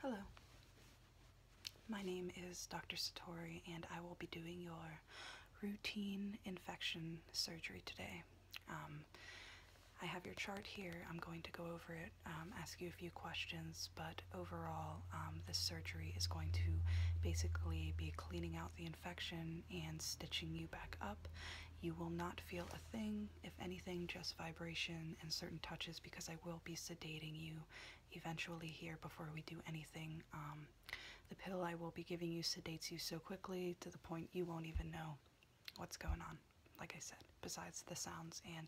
Hello. My name is Dr. Satori, and I will be doing your routine infection surgery today. Um, I have your chart here. I'm going to go over it, um, ask you a few questions, but overall, um, this surgery is going to basically be cleaning out the infection and stitching you back up. You will not feel a thing if anything, just vibration and certain touches because I will be sedating you eventually here before we do anything. Um, the pill I will be giving you sedates you so quickly to the point you won't even know what's going on, like I said, besides the sounds and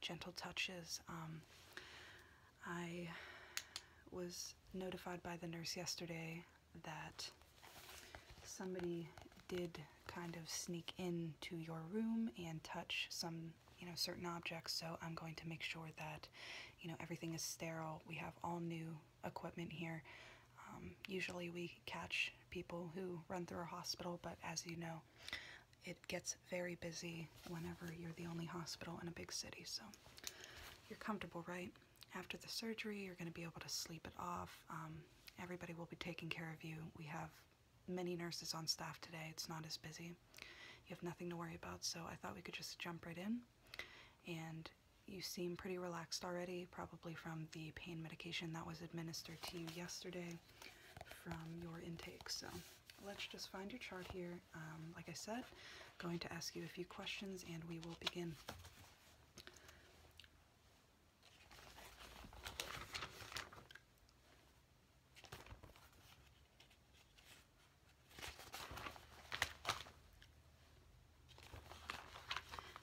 gentle touches. Um, I was notified by the nurse yesterday that somebody did kind of sneak in to your room and touch some you know certain objects so I'm going to make sure that you know everything is sterile we have all new equipment here um, usually we catch people who run through a hospital but as you know it gets very busy whenever you're the only hospital in a big city so you're comfortable right after the surgery you're going to be able to sleep it off um, everybody will be taking care of you we have many nurses on staff today. It's not as busy. You have nothing to worry about, so I thought we could just jump right in. And you seem pretty relaxed already, probably from the pain medication that was administered to you yesterday from your intake. So let's just find your chart here. Um, like I said, going to ask you a few questions and we will begin.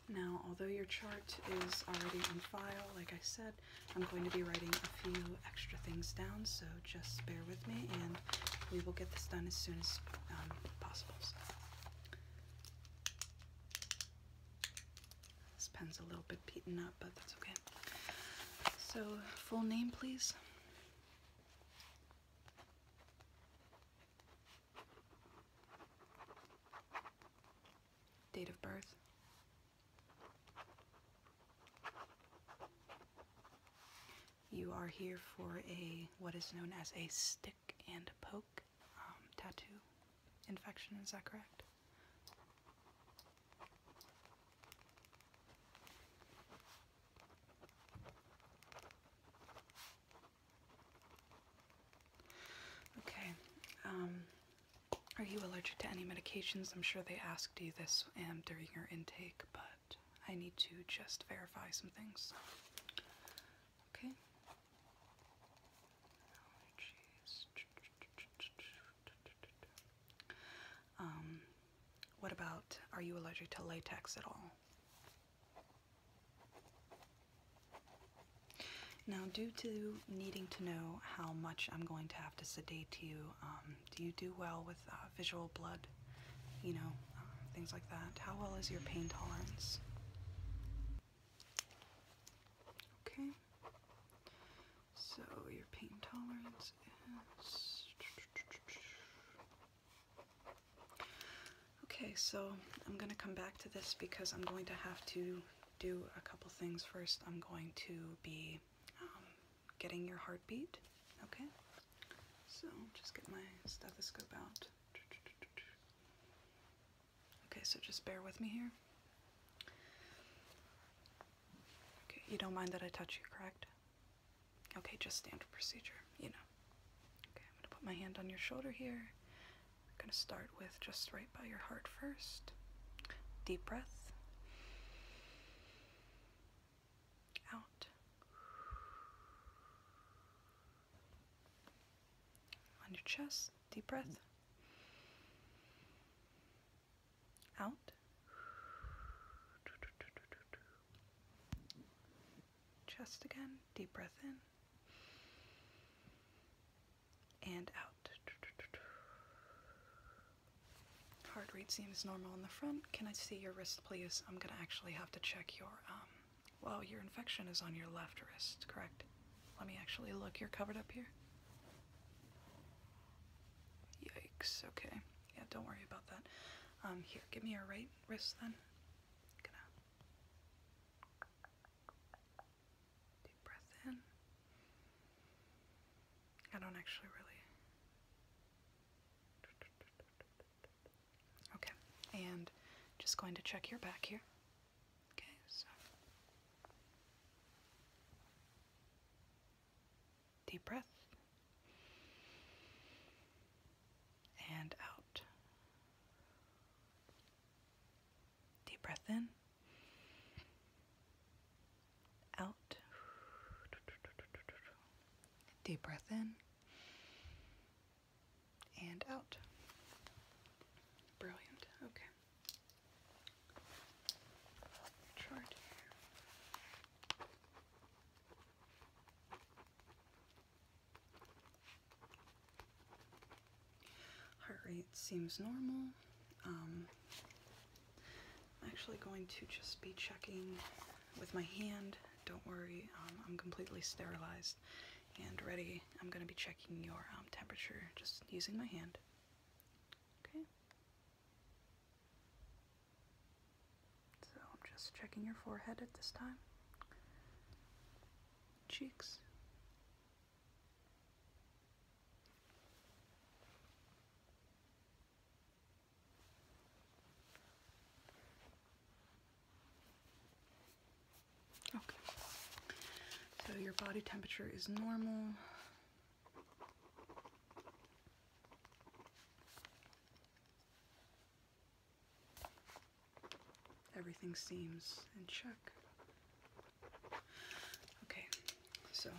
Now, although your chart is already on file, like I said, I'm going to be writing a few extra things down, so just bear with me and we will get this done as soon as um, possible. This pen's a little bit beaten up, but that's okay. So, full name, please. Date of birth. You are here for a what is known as a stick and poke. Um, tattoo infection, is that correct? Okay. Um, are you allergic to any medications? I'm sure they asked you this um, during your intake, but I need to just verify some things. Okay. Um, what about are you allergic to latex at all? Now, due to needing to know how much I'm going to have to sedate you, um, do you do well with uh, visual blood? You know, uh, things like that. How well is your pain tolerance? Okay. So your pain tolerance is. Okay, so I'm going to come back to this because I'm going to have to do a couple things first. I'm going to be um, getting your heartbeat, okay? So just get my stethoscope out. Okay, so just bear with me here. Okay, you don't mind that I touch you, correct? Okay, just standard procedure, you know. Okay, I'm gonna put my hand on your shoulder here. I'm gonna start with just right by your heart first. Deep breath. Out. On your chest. Deep breath. Out. Chest again. Deep breath in. And out. Heart rate seems normal in the front. Can I see your wrist, please? I'm going to actually have to check your, um, well, your infection is on your left wrist, correct? Let me actually look. You're covered up here? Yikes. Okay. Yeah, don't worry about that. Um, here, give me your right wrist then. deep breath in. I don't actually really. Okay, and just going to check your back here. Okay, so deep breath and out. Deep breath in, out. Deep breath in, and out. Brilliant. Okay. Heart rate seems normal. Um, I'm actually going to just be checking with my hand. Don't worry, um, I'm completely sterilized and ready. I'm going to be checking your um, temperature just using my hand. Okay. So I'm just checking your forehead at this time, cheeks. Okay. So your body temperature is normal. Everything seems in check. Okay, so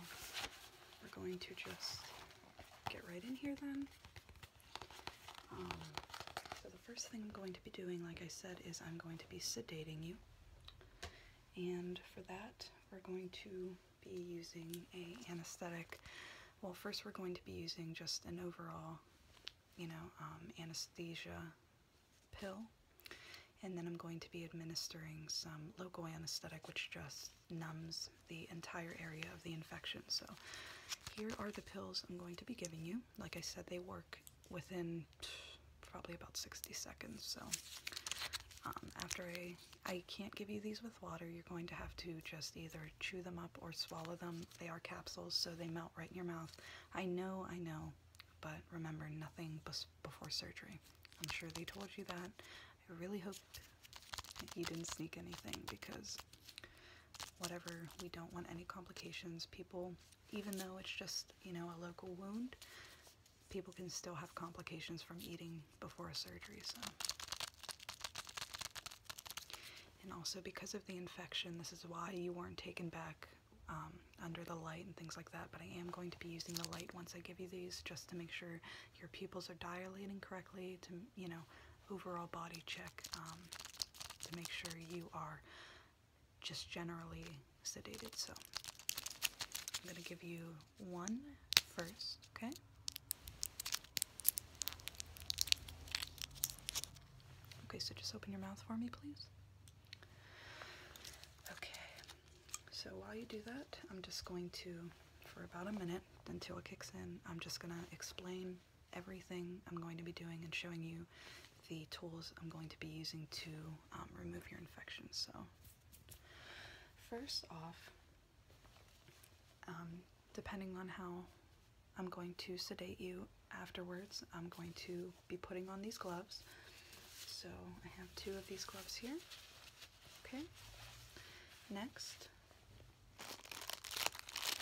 we're going to just get right in here then. Um, first thing I'm going to be doing, like I said, is I'm going to be sedating you. And for that, we're going to be using a anesthetic. Well, first we're going to be using just an overall, you know, um, anesthesia pill. And then I'm going to be administering some local anesthetic, which just numbs the entire area of the infection. So here are the pills I'm going to be giving you. Like I said, they work within probably about 60 seconds. So um, after I, I can't give you these with water, you're going to have to just either chew them up or swallow them. They are capsules, so they melt right in your mouth. I know, I know, but remember nothing before surgery. I'm sure they told you that. I really hope you didn't sneak anything because whatever, we don't want any complications. People even though it's just, you know, a local wound, people can still have complications from eating before surgery, so. And also because of the infection, this is why you weren't taken back um, under the light and things like that, but I am going to be using the light once I give you these just to make sure your pupils are dilating correctly, to, you know, overall body check um, to make sure you are just generally sedated. So I'm going to give you one first, okay? Okay, so just open your mouth for me, please. Okay, so while you do that, I'm just going to, for about a minute until it kicks in, I'm just going to explain everything I'm going to be doing and showing you the tools I'm going to be using to um, remove your infection. So, first off, um, depending on how I'm going to sedate you afterwards, I'm going to be putting on these gloves. So, I have two of these gloves here. Okay, next,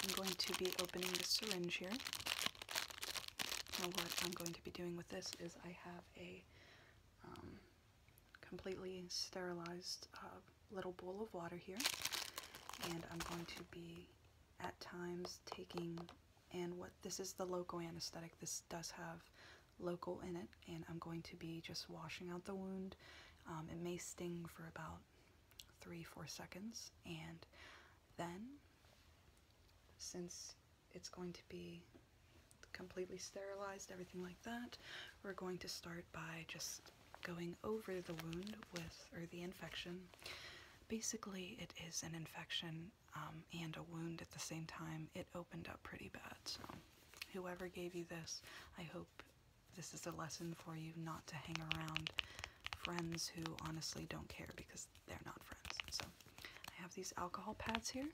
I'm going to be opening the syringe here. Now, what I'm going to be doing with this is I have a um, completely sterilized uh, little bowl of water here, and I'm going to be at times taking and what this is the local anesthetic. This does have local in it, and I'm going to be just washing out the wound. Um, it may sting for about three, four seconds, and then since it's going to be completely sterilized, everything like that, we're going to start by just going over the wound with, or the infection. Basically, it is an infection um, and a wound at the same time. It opened up pretty bad, so whoever gave you this, I hope this is a lesson for you not to hang around friends who honestly don't care because they're not friends. So I have these alcohol pads here.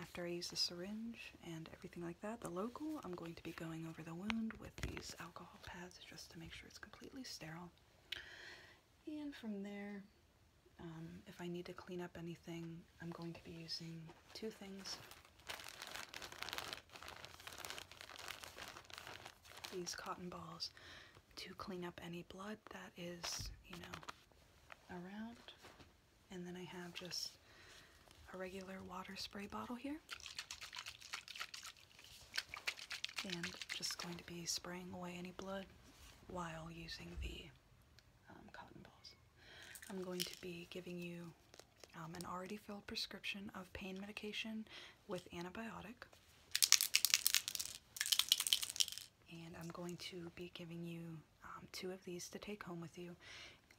After I use the syringe and everything like that, the local, I'm going to be going over the wound with these alcohol pads just to make sure it's completely sterile. And from there, um, if I need to clean up anything, I'm going to be using two things. These cotton balls to clean up any blood that is, you know, around. And then I have just a regular water spray bottle here. And just going to be spraying away any blood while using the um, cotton balls. I'm going to be giving you um, an already filled prescription of pain medication with antibiotic. And I'm going to be giving you um, two of these to take home with you.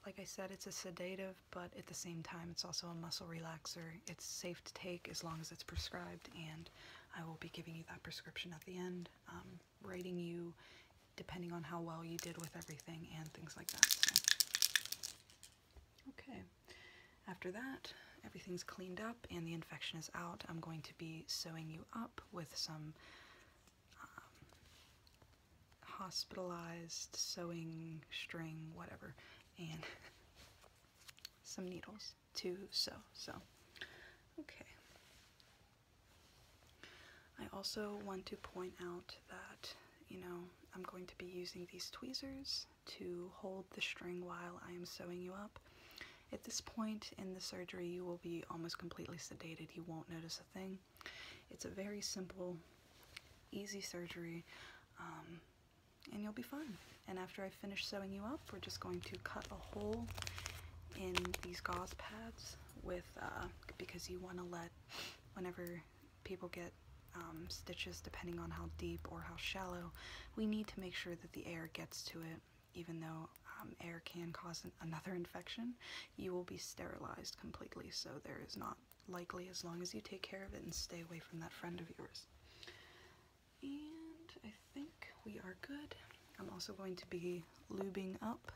Like I said, it's a sedative, but at the same time, it's also a muscle relaxer. It's safe to take as long as it's prescribed, and I will be giving you that prescription at the end, um, writing you depending on how well you did with everything and things like that. Okay, after that, everything's cleaned up and the infection is out. I'm going to be sewing you up with some um, hospitalized sewing string, whatever, and some needles to sew. So, okay. I also want to point out that, you know, I'm going to be using these tweezers to hold the string while I am sewing you up. At this point in the surgery, you will be almost completely sedated. You won't notice a thing. It's a very simple, easy surgery, um, and you'll be fine. And after I finish sewing you up, we're just going to cut a hole in these gauze pads with, uh, because you want to let, whenever people get um, stitches depending on how deep or how shallow, we need to make sure that the air gets to it. Even though um, air can cause another infection, you will be sterilized completely, so there is not likely as long as you take care of it and stay away from that friend of yours. And I think we are good. I'm also going to be lubing up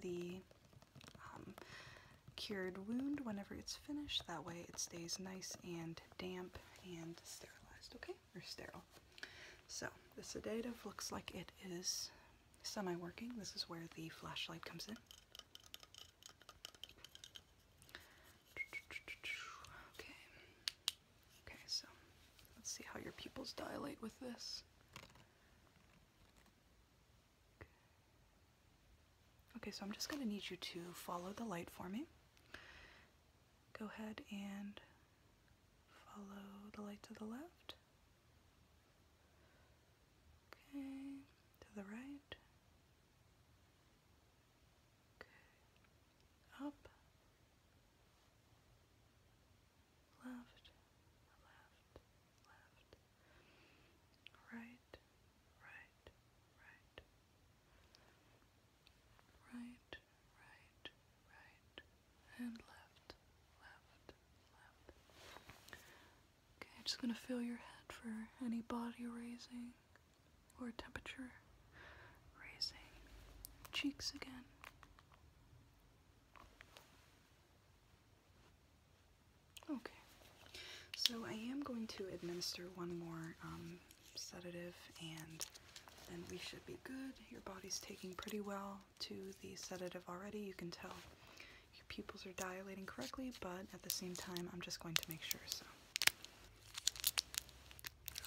the um, cured wound whenever it's finished. That way it stays nice and damp, and sterilized, okay? Or sterile. So the sedative looks like it is semi-working. This is where the flashlight comes in. Okay. Okay, so let's see how your pupils dilate with this. Okay, so I'm just going to need you to follow the light for me go ahead and follow the light to the left. Okay, to the right. Okay, up. Left, left, left. Right, right, right right, right, right, and left, left, left. Okay, just gonna feel your head for any body raising or temperature raising. Cheeks again. Okay, so I am going to administer one more um, sedative and then we should be good. Your body's taking pretty well to the sedative already. You can tell your pupils are dilating correctly, but at the same time, I'm just going to make sure so.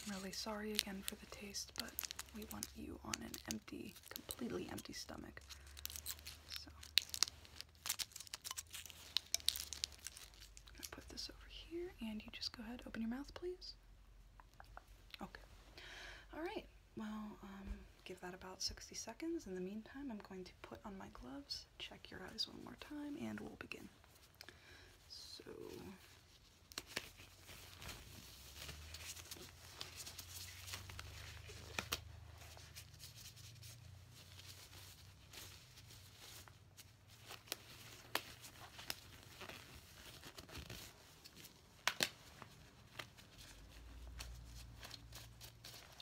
I'm really sorry again for the taste, but we want you on an empty, completely empty stomach. So, put this over here, and you just go ahead, open your mouth, please. Okay. All right. Well, um, give that about 60 seconds. In the meantime, I'm going to put on my gloves, check your eyes one more time, and we'll begin. So.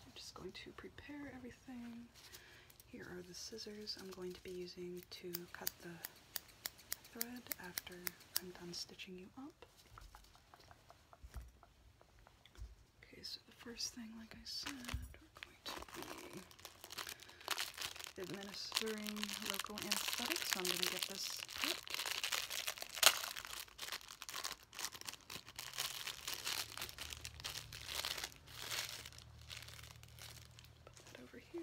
I'm just going to prepare everything. Here are the scissors I'm going to be using to cut the thread after I'm done stitching you up. Okay, so the first thing, like I said, administering local anesthetic, so I'm going to get this put. over here.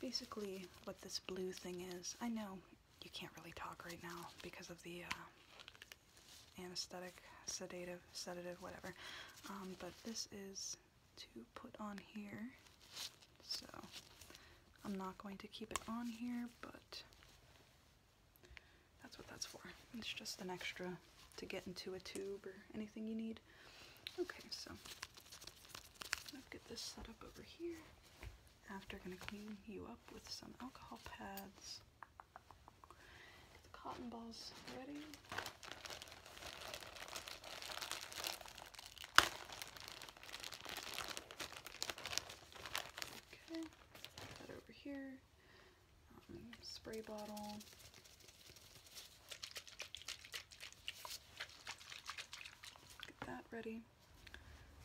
Basically, what this blue thing is, I know you can't really talk right now because of the uh, anesthetic, sedative, sedative, whatever. Um, but this is to put on here. So I'm not going to keep it on here, but that's what that's for. It's just an extra to get into a tube or anything you need. Okay, so I'll get this set up over here. After, gonna clean you up with some alcohol pads the cotton balls ready. Okay, that over here. Um, spray bottle. Get that ready.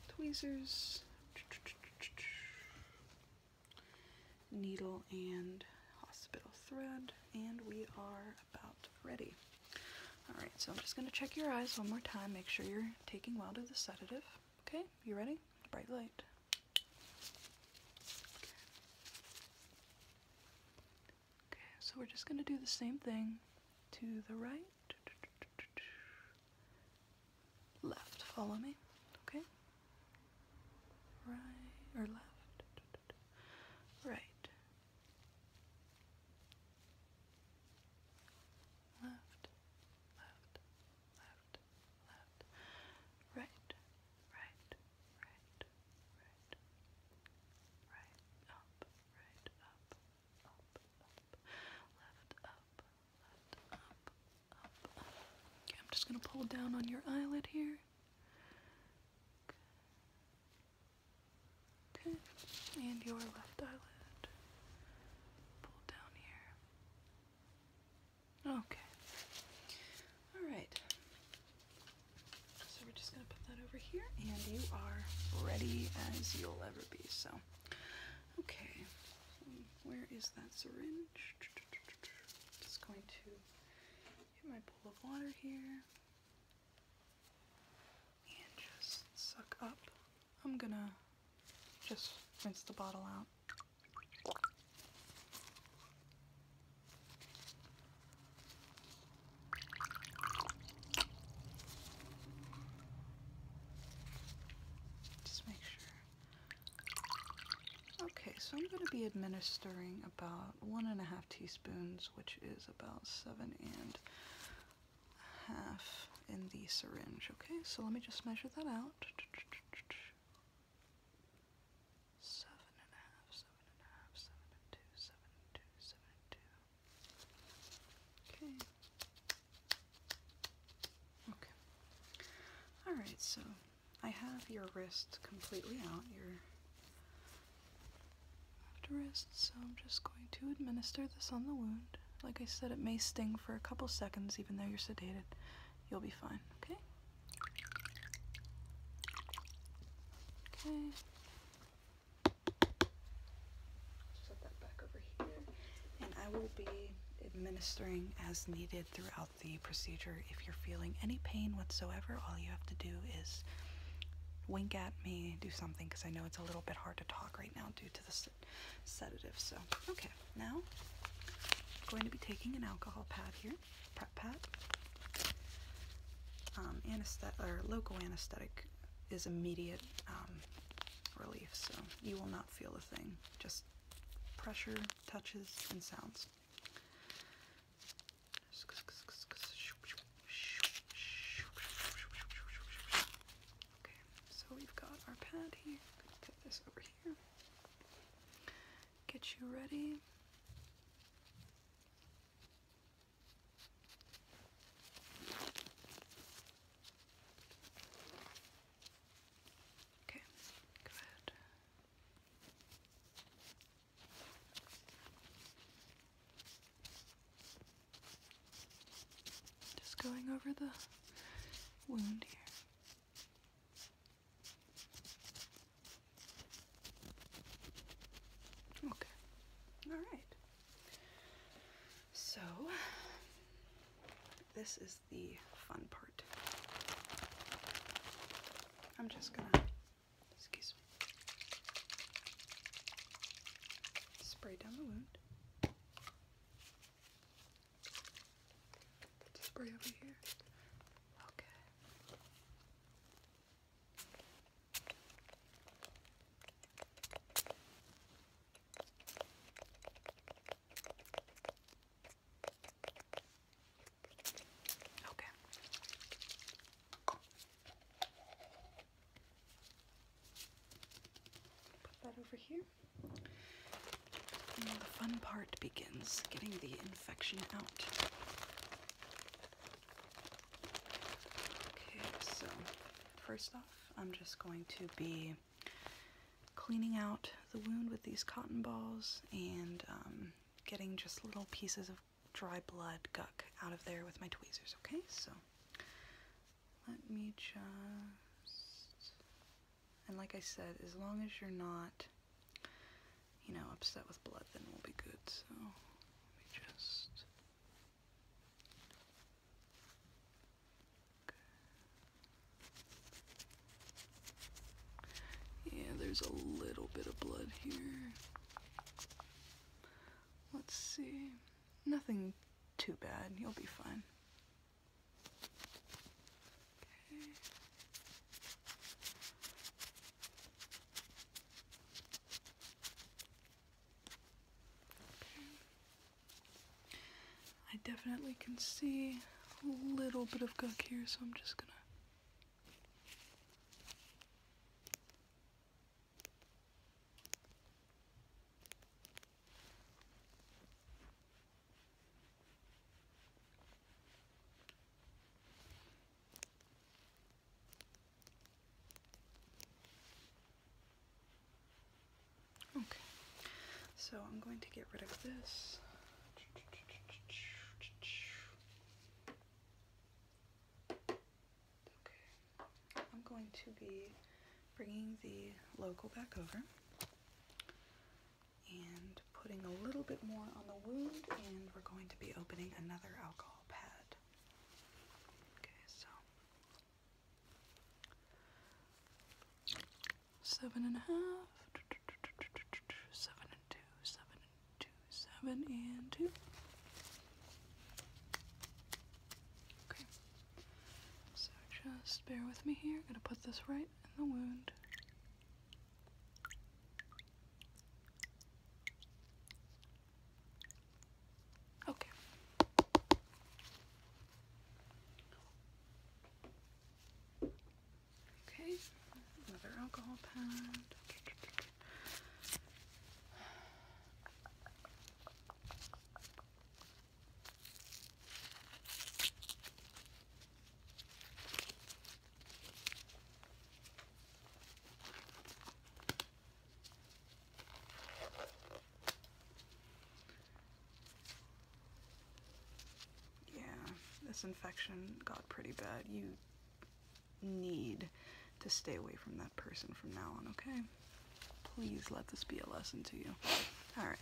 Tweezers needle and hospital thread and we are about ready. Alright, so I'm just going to check your eyes one more time. Make sure you're taking well to the sedative. Okay, you ready? Bright light. Okay, so we're just going to do the same thing to the right, left. Follow me, okay? right or left, right, left, left, left, left, right, right, right, right, right, up, right, up, up, up, left, up, left, up, up, up. Okay, I'm just gonna pull down on your eyelid here and your left eyelid. Pull down here. Okay. Alright. So we're just going to put that over here, and you are ready as you'll ever be. So, okay. Where is that syringe? Just going to in my bowl of water here and just suck up. I'm gonna just rinse the bottle out. Just make sure. Okay, so I'm going to be administering about one and a half teaspoons, which is about seven and a half in the syringe. Okay, so let me just measure that out. Seven and a half, seven and a half, seven and two, seven and two, seven and two. Okay. Okay. Alright, so I have your wrist completely out, your left wrist, so I'm just going to administer this on the wound. Like I said, it may sting for a couple seconds, even though you're sedated. You'll be fine, okay? Okay. Set that back over here. And I will be administering as needed throughout the procedure. If you're feeling any pain whatsoever, all you have to do is wink at me, do something, because I know it's a little bit hard to talk right now due to the sedative. So, okay, now I'm going to be taking an alcohol pad here, prep pad. Um, anesthetic or local anesthetic is immediate um, relief, so you will not feel a thing. Just pressure, touches, and sounds. Okay, so we've got our pad here. put this over here. Get you ready. Okay, go ahead. Just going over the wound here. Okay. All right. So, this is the fun part. I'm just gonna, excuse me, spray down the wound. Spray over here. Okay. Okay. Put that over here. And the fun part begins getting the infection out. Okay, so first off, I'm just going to be cleaning out the wound with these cotton balls and um, getting just little pieces of dry blood gunk out of there with my tweezers, okay? So let me just. And like I said, as long as you're not, you know, upset with blood, then we'll be good. So let just. Yeah, there's a little bit of blood here. Let's see. Nothing too bad. You'll be fine. Okay. Okay. I definitely can see a little bit of gunk here, so I'm just gonna Okay, so I'm going to get rid of this. Okay, I'm going to be bringing the local back over and putting a little bit more on the wound and we're going to be opening another alcohol pad. Okay, so Seven and a half, seven and two, seven and two, seven and two. Okay, so just bear with me here. I'm gonna put this right in the wound. Okay. Okay, another alcohol pad. Yeah, this infection got pretty bad. You need to stay away from that person from now on, okay? Please let this be a lesson to you. Alright,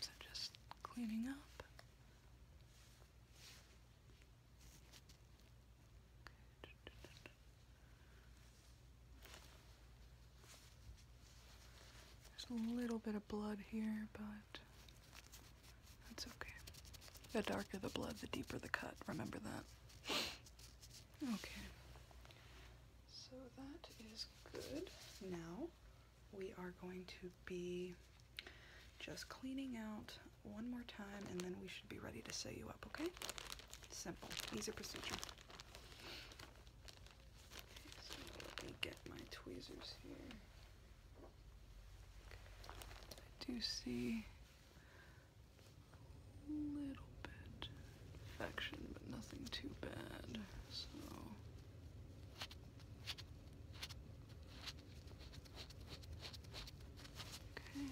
so just cleaning up. There's a little bit of blood here, but that's okay. The darker the blood, the deeper the cut. Remember that. okay. So that is good. Now we are going to be just cleaning out one more time and then we should be ready to sew you up, okay? Simple, easy procedure. let me get my tweezers here. I do see a little bit infection, but nothing too bad. So. Okay.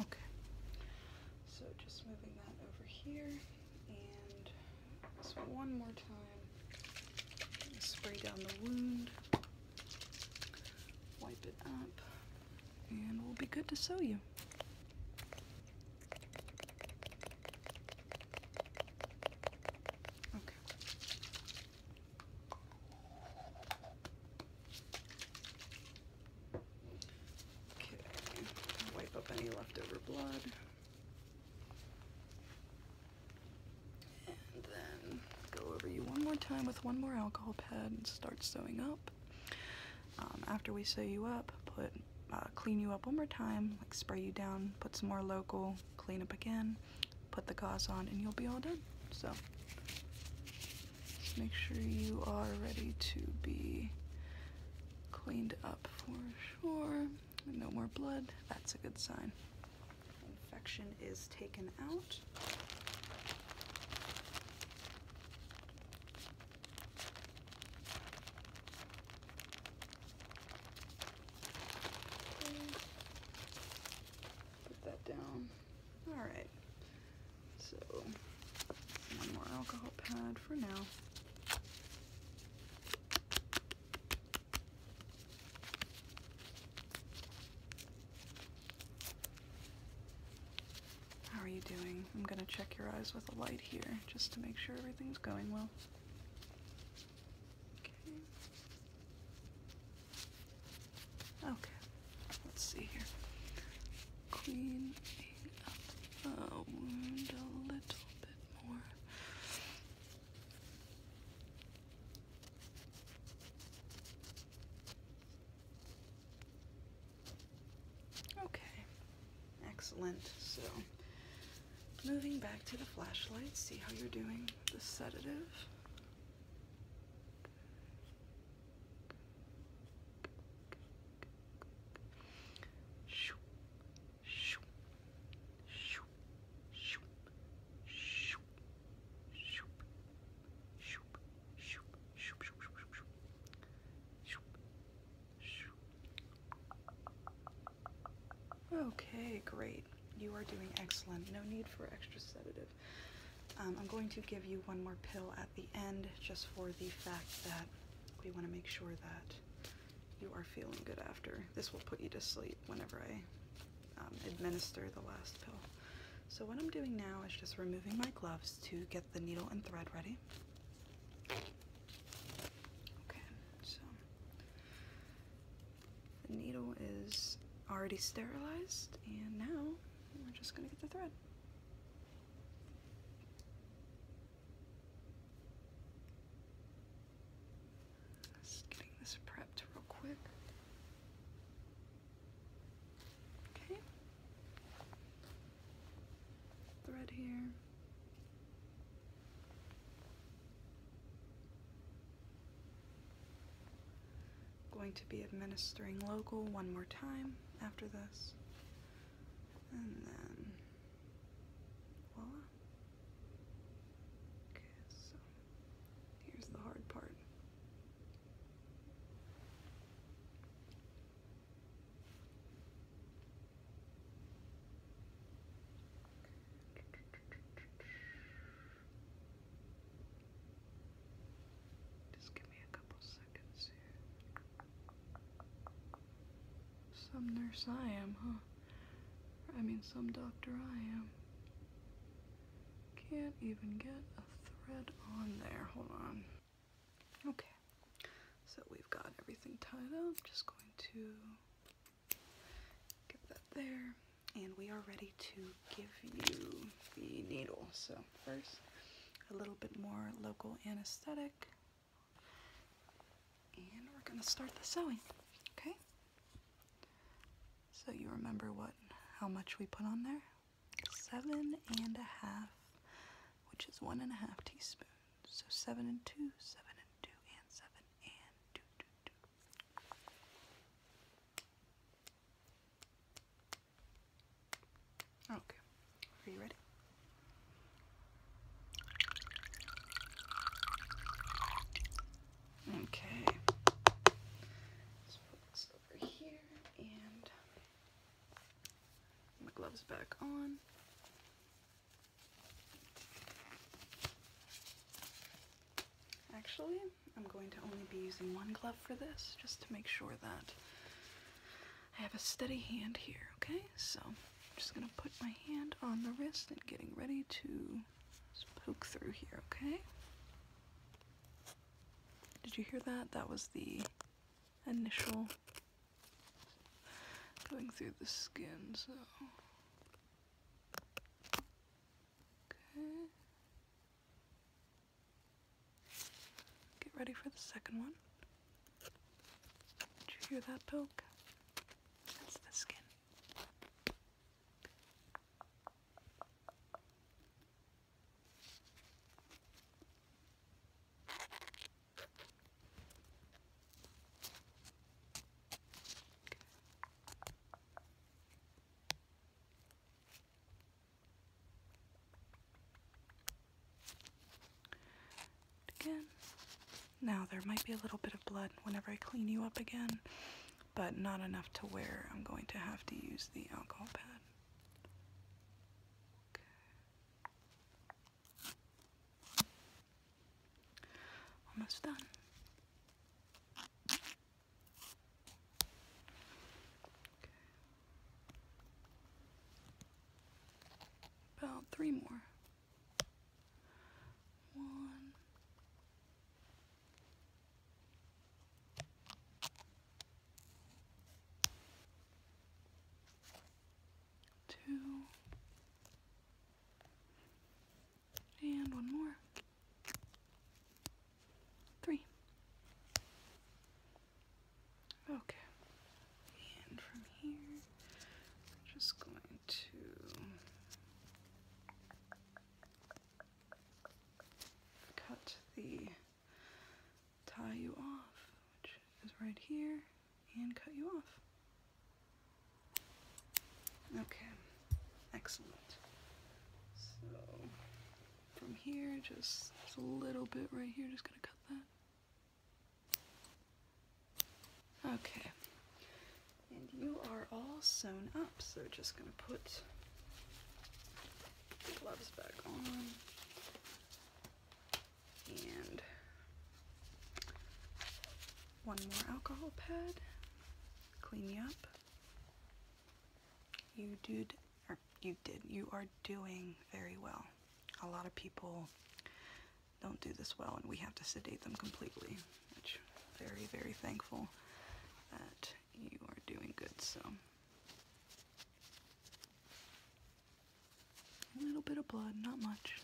Okay, so just moving that over here and just one more time. Spray down the wound. Wipe it up. And we'll be good to sew you. Wipe up any leftover blood. And then go over you one more time with one more alcohol pad and start sewing up. Um, after we sew you up, put uh, clean you up one more time, like spray you down, put some more local, clean up again, put the gauze on, and you'll be all done. So make sure you are ready to be cleaned up for sure. No more blood. That's a good sign. Infection is taken out. Put that down. All right. So, one more alcohol pad for now. How are you doing? I'm going to check your eyes with a light here just to make sure everything's going well. Okay. Okay. Let's see here. Cleaning up the wound a little bit more. Okay, excellent. So, moving back to the flashlight, see how you're doing the sedative. Shoo, shoo, shoo. Okay, great. You are doing excellent. No need for extra sedative. Um, I'm going to give you one more pill at the end just for the fact that we want to make sure that you are feeling good after. This will put you to sleep whenever I um, administer the last pill. So what I'm doing now is just removing my gloves to get the needle and thread ready. Okay, so the needle is already sterilized and now we're just gonna get the thread. Just getting this prepped real quick. Okay. Thread here. Going to be administering local one more time after this. And then Okay, so here's the hard part. Just give me a couple seconds here. Some nurse I am, huh? I mean, some doctor I am. Can't even get a thread on there. Hold on. Okay. So we've got everything tied up. Just going to get that there. And we are ready to give you the needle. So first, a little bit more local anesthetic. And we're gonna start the sewing, okay? So you remember what, how much we put on there? Seven and a half, which is one and a half teaspoons. So seven and two, seven and two, and seven and two, two, two. Okay, are you ready? Okay. put this over here and my gloves back on. Actually, I'm going to only be using one glove for this just to make sure that I have a steady hand here, okay? So I'm just gonna put my hand on the wrist and getting ready to poke through here, okay? Did you hear that? That was the initial going through the skin, so. Okay. Get ready for the second one. Did you hear that poke? That's the skin again. Now there might be a little bit of blood whenever I clean you up again, but not enough to where I'm going to have to use the alcohol pad. Okay. Almost done. Okay. About three more one. Two and one more, three. Okay, and from here, we're just going to cut the tie you off, which is right here, and cut you off. Okay, excellent. So from here, just a little bit right here, just gonna cut that. Okay. And you are all sewn up, so just gonna put gloves back on. And one more alcohol pad, clean you up. You did, or you did, you are doing very well. A lot of people don't do this well and we have to sedate them completely, very, very thankful that you are doing good. So a little bit of blood, not much.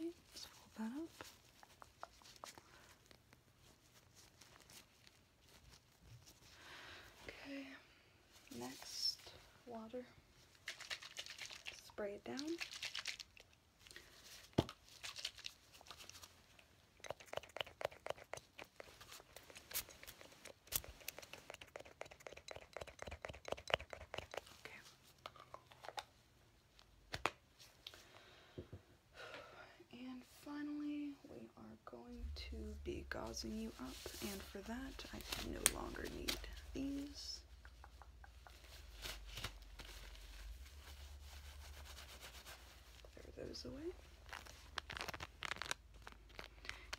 Okay, let fold that up. Okay, Next, water. Spray it down. And finally, we are going to be gauzing you up, and for that, I no longer need these.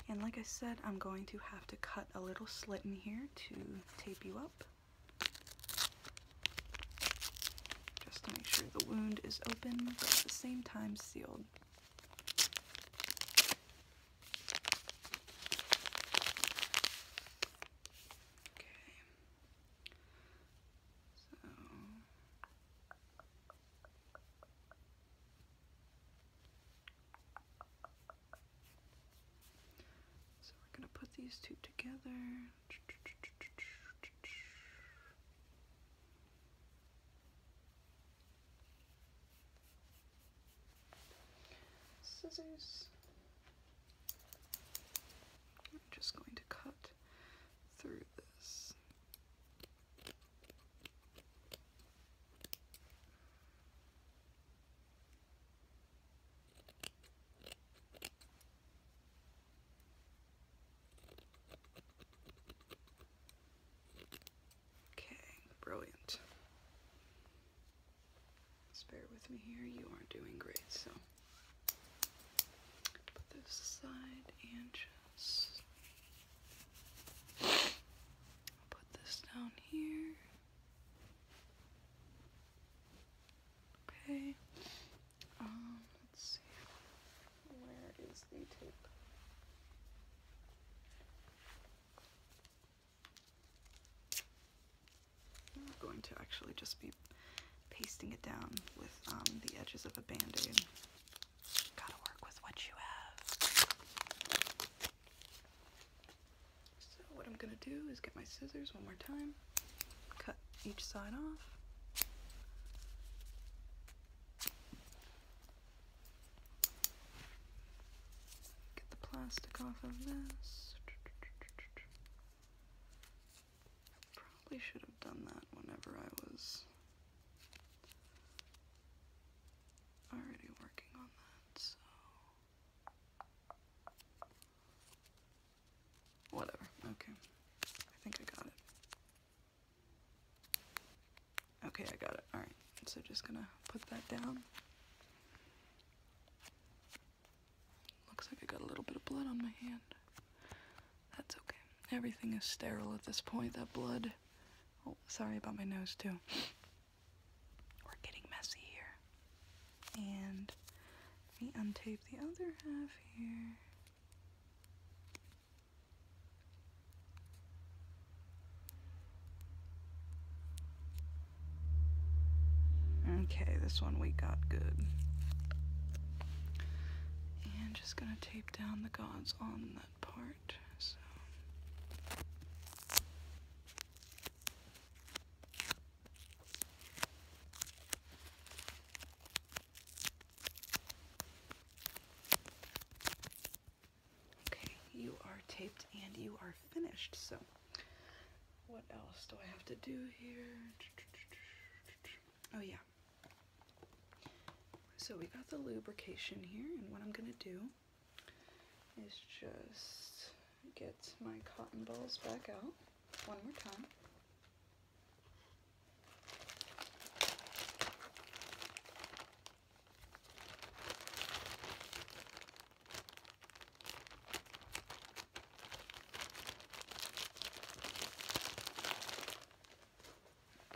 And like I said, I'm going to have to cut a little slit in here to tape you up. Just to make sure the wound is open, but at the same time sealed. Okay. So so we're going to put these two together. Scissors. just going to cut through this. Okay, brilliant. Just with me here. You are doing great. So put this aside and just put this down here. Okay. Um, let's see. Where is the tape? I'm going to actually just be pasting it down with um, the edges of a band-aid. Gotta work with what you have. So what I'm gonna do is get my scissors one more time, cut each side off. Get the plastic off of this. Probably should have done that whenever I was already working on that, so. Whatever, okay. I think I got it. Okay, I got it. Alright, so just gonna put that down. Looks like I got a little bit of blood on my hand. That's okay. Everything is sterile at this point. That blood. Oh, sorry about my nose, too. We're getting messy here. And let me untape the other half here. Okay, this one we got good. And just gonna tape down the gods on that part, so. Okay, you are taped and you are finished. So, what else do I have to do here? Oh, yeah. So, we got the lubrication here, and what I'm going to do is just get my cotton balls back out one more time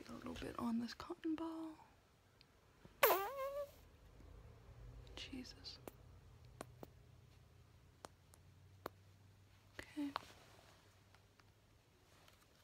a little bit on this cotton ball. Jesus. Okay.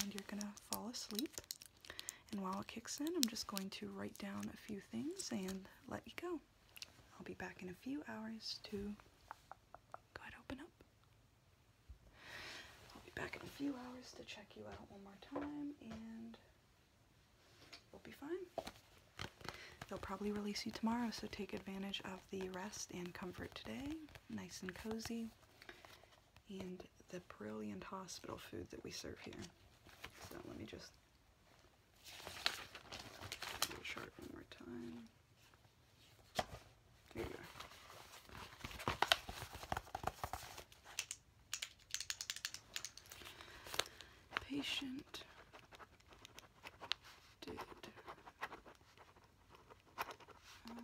and you're gonna fall asleep. And while it kicks in, I'm just going to write down a few things and let you go. I'll be back in a few hours to go ahead open up. I'll be back in a few hours to check you out one more time and we'll be fine. They'll probably release you tomorrow, so take advantage of the rest and comfort today. Nice and cozy and the brilliant hospital food that we serve here. So let me just do more time. There you are. patient did uh,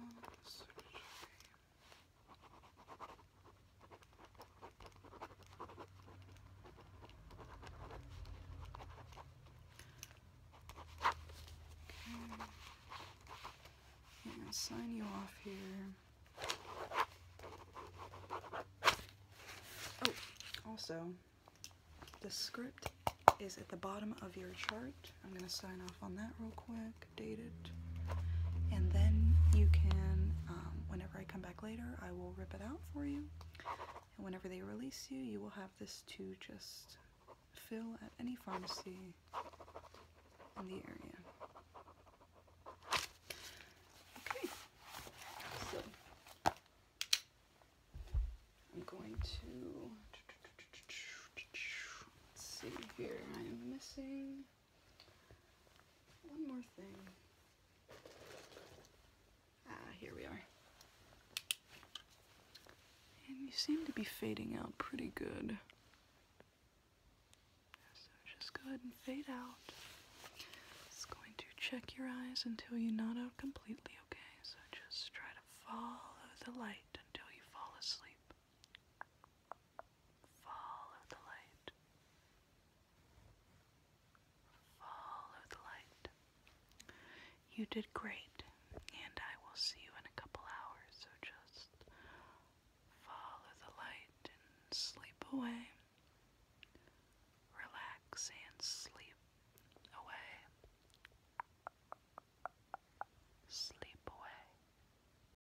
I'm going to sign you off here. Oh, also, the script is at the bottom of your chart. I'm going to sign off on that real quick date it. And then you can, um, whenever I come back later, I will rip it out for you. And whenever they release you, you will have this to just fill at any pharmacy in the area. Okay, so I'm going to, see here, I'm missing one more thing. Ah, here we are. And you seem to be fading out pretty good. So just go ahead and fade out. It's going to check your eyes until you nod out completely, okay? So just try to follow the light until you fall asleep. Follow the light. Follow the light. You did great, and I will see you in a couple hours, so just follow the light and sleep away. Relax and sleep away. Sleep away.